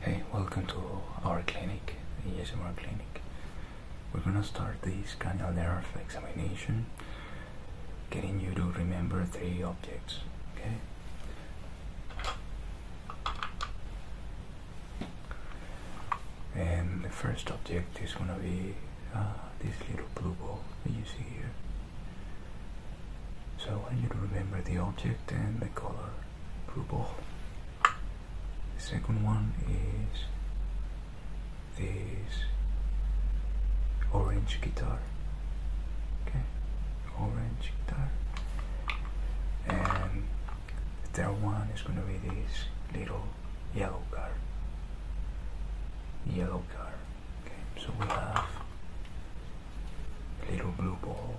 Hey, welcome to our clinic, the ESMR clinic. We're gonna start this cranial nerve examination, getting you to remember three objects, okay? And the first object is gonna be uh, this little blue ball that you see here. So I want you to remember the object and the color purple. The second one is this orange guitar. Okay, orange guitar. And the third one is going to be this little yellow car. Yellow car. Okay, so we have Little blue ball.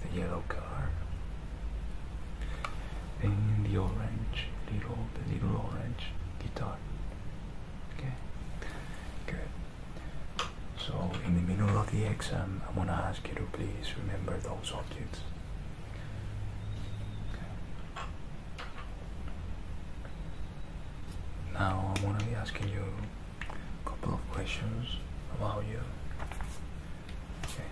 The yellow car. And the orange, little, the little orange guitar. Okay, good. So in the middle of the exam, i want to ask you to please remember those objects. Okay. Now I'm gonna be asking you a couple of questions about you. Okay.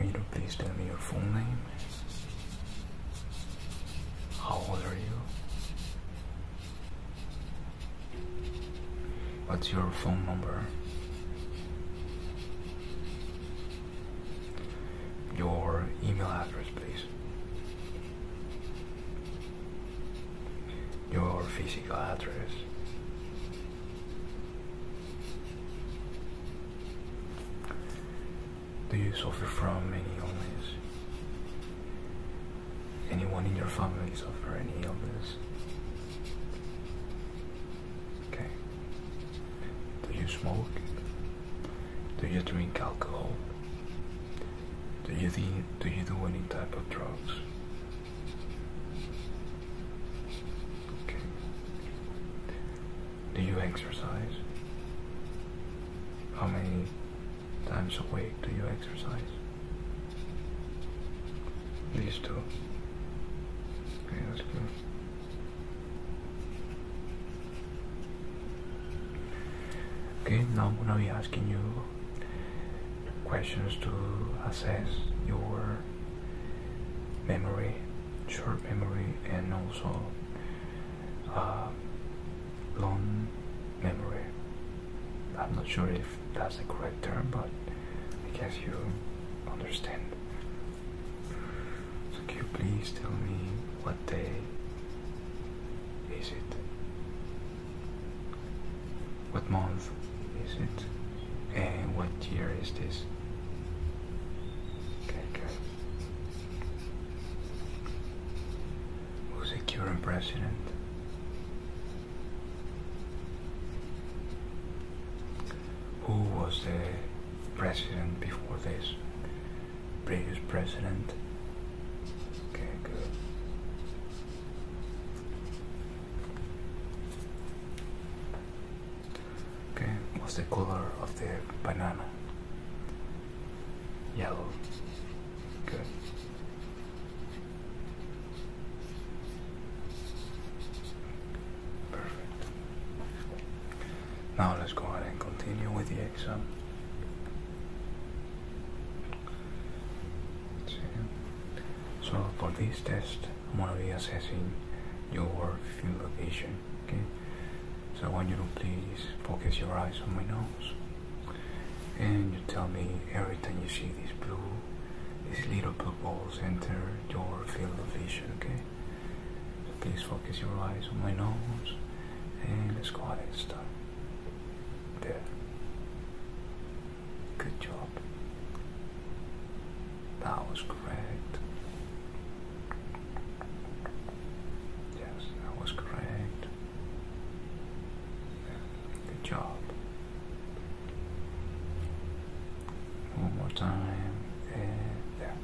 Will you please tell me your full name? How old are you? What's your phone number? your email address, please. Your physical address. Do you suffer from any illness? Anyone in your family suffer any illness? Do you smoke? Do you drink alcohol? Do you do, any type of drugs? Do you exercise? How many times a week do you exercise? These two. Okay, that's good. Okay, now I'm gonna be asking you questions to assess your memory, short memory, and also uh, long memory. I'm not sure if that's the correct term, but I guess you understand. So can you please tell me what day is it? What month is it? And what year is this? Okay, good. Who's the current president? who was the president before this? Previous president. Okay, good. Okay, what's the color of the banana? Yellow. Good. Perfect. Now let's go ahead and continue with the exam. So for this test, I'm gonna be assessing your field vision. Okay. So I want you to please focus your eyes on my nose, and you tell me every time you see these blue, these little blue balls enter your field of vision, okay? please focus your eyes on my nose and let's go ahead and start. There. Good job. That was correct. Yes, that was correct. Good job. One more time, and there.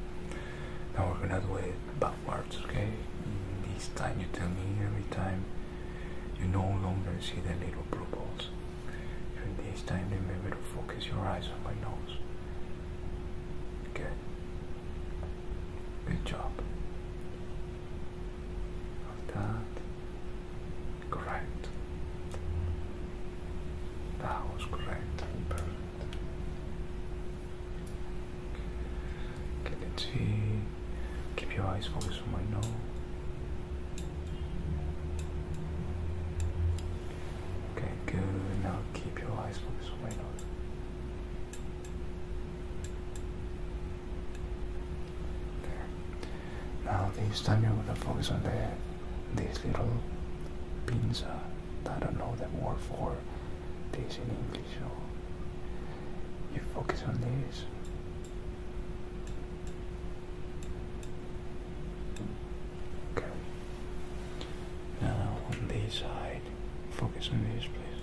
Now we're gonna do it backwards, okay? This time you tell me every time you no longer see the little blue balls. And this time remember to focus your eyes on my nose. Okay. Good job. Of that. Correct. That was correct. Perfect. Okay, let's see. Keep your eyes focused on my nose. Okay, good. Now keep your eyes focused on my nose. Now this time you're gonna focus on the these little pins. Uh, I don't know the word for this in English. So you focus on this. Okay. Now on this side, focus on this, please.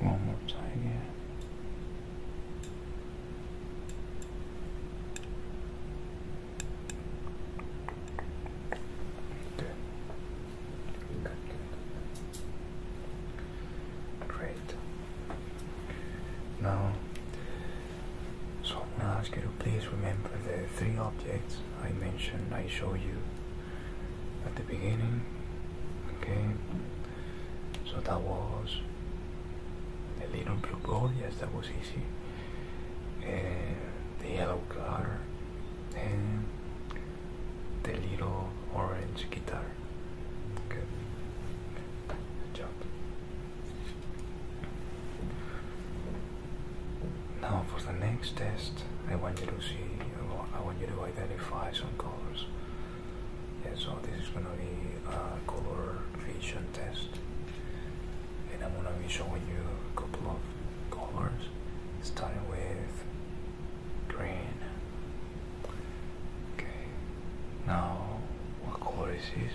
One more time, again. Good, good. Great. Now, so I'm going to ask you to please remember the three objects I mentioned I show you at the beginning okay so that was the little blue ball yes that was easy and uh, the yellow car and the little orange guitar okay good job now for the next test, I want you to see, I want you to identify some colors. Yeah, so this is gonna be a color vision test, and I'm gonna be showing you a couple of colors, starting with green. Okay. Now, what color is this?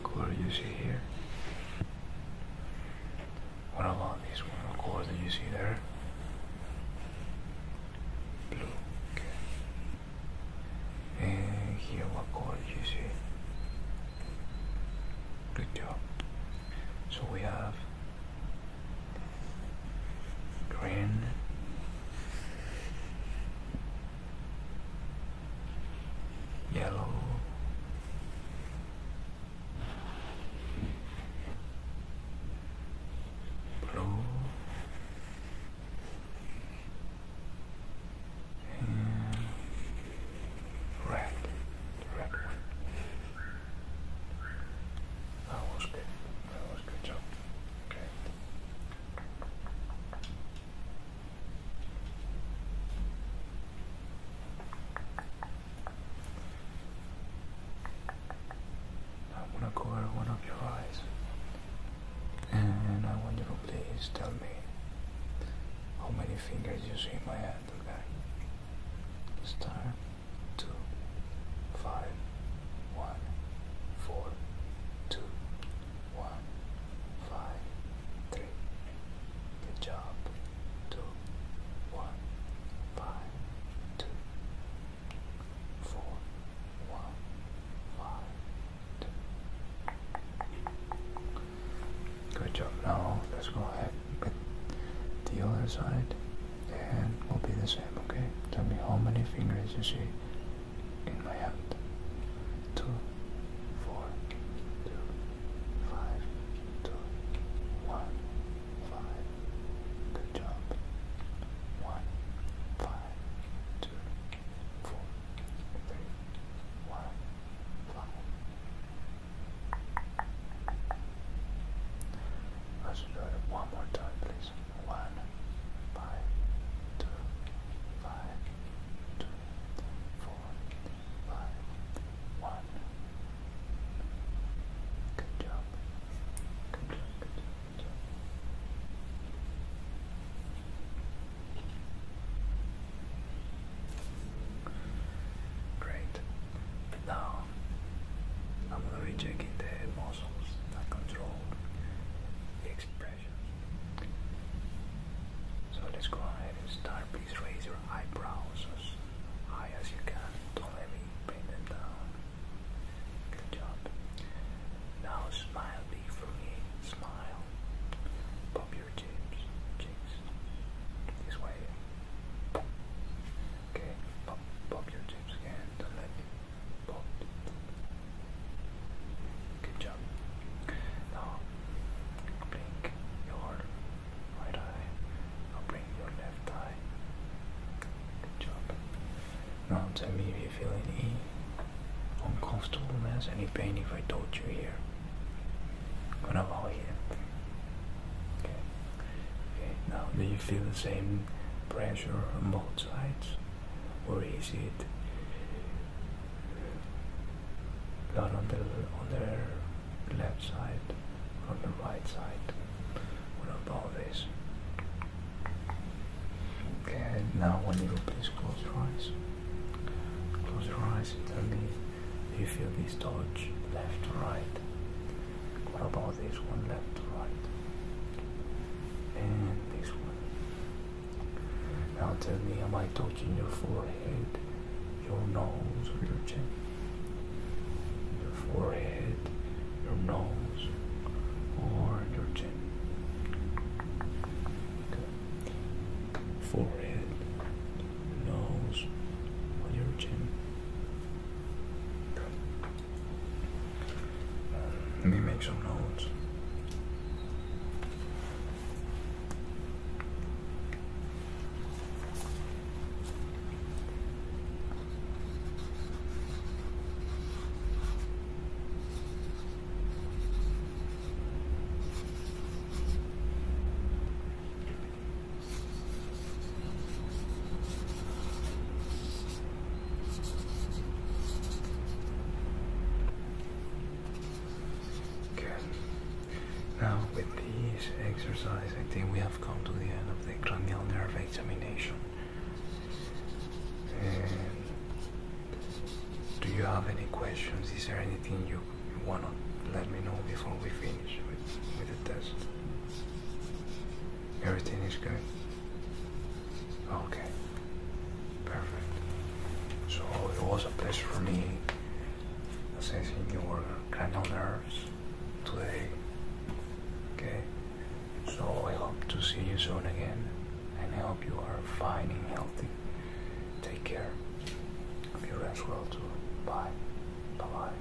What color you see here? What a lot these one color that you see there. Blue. Okay. And here what color you see? Good job. So we have green yellow Blue and red, red That was good. That was good job. Okay. I'm gonna cover one of your eyes, and I want you to please tell me how many fingers you see in my hand, okay? Star, two, five, one, four, two, one, five three. Good job. Two, one, five, two, four, one, five, two. Good job. Now let's go ahead with the other side, and will be the same. Okay. Tell me how many fingers you see in my hand. Two, four, two five, two, one, five. Good job. One, five, two, four, three, one, five. Let's do it one more time, please. One, five, two, five, two, four, five, one. Good Good job, good job, good job. Great. Now I'm going to be checking the muscles that control the expression so let's go ahead and start. Please raise your eyebrows as high as you can. Don't let me bring them down. Good job. Now smile big for me. Smile. Pop your cheeks. Cheeks. This way. Okay. Pop, pop your cheeks again. Don't let me pop. Good job. Now, blink your right eye. Now bring your left eye. Good job. Now tell me if you feel any uncomfortableness, any pain if I touch you here. I'm gonna allow you. Okay. okay. Now, do you feel the same pressure on both sides, or is it not on the on their left side, on the right side. What about this? Okay, now when you please close your eyes. Close your eyes and tell me you feel this touch left to right? What about this one left to right? And this one now tell me, am I touching your forehead, your nose, or your chin? Your forehead, your nose, or your chin? Okay. Forehead, nose, or your chin? Okay. Let me make some notes. Now, with this exercise, I think we have come to the end of the cranial nerve examination. do you have any questions? Is there anything you want to let me know before we finish with, with the test? Everything is good. Okay. Perfect. So it was a pleasure for me assessing your cranial nerves today. Okay. So I hope to see you soon again and I hope you are fine and healthy. Take care of your as well too. Bye bye.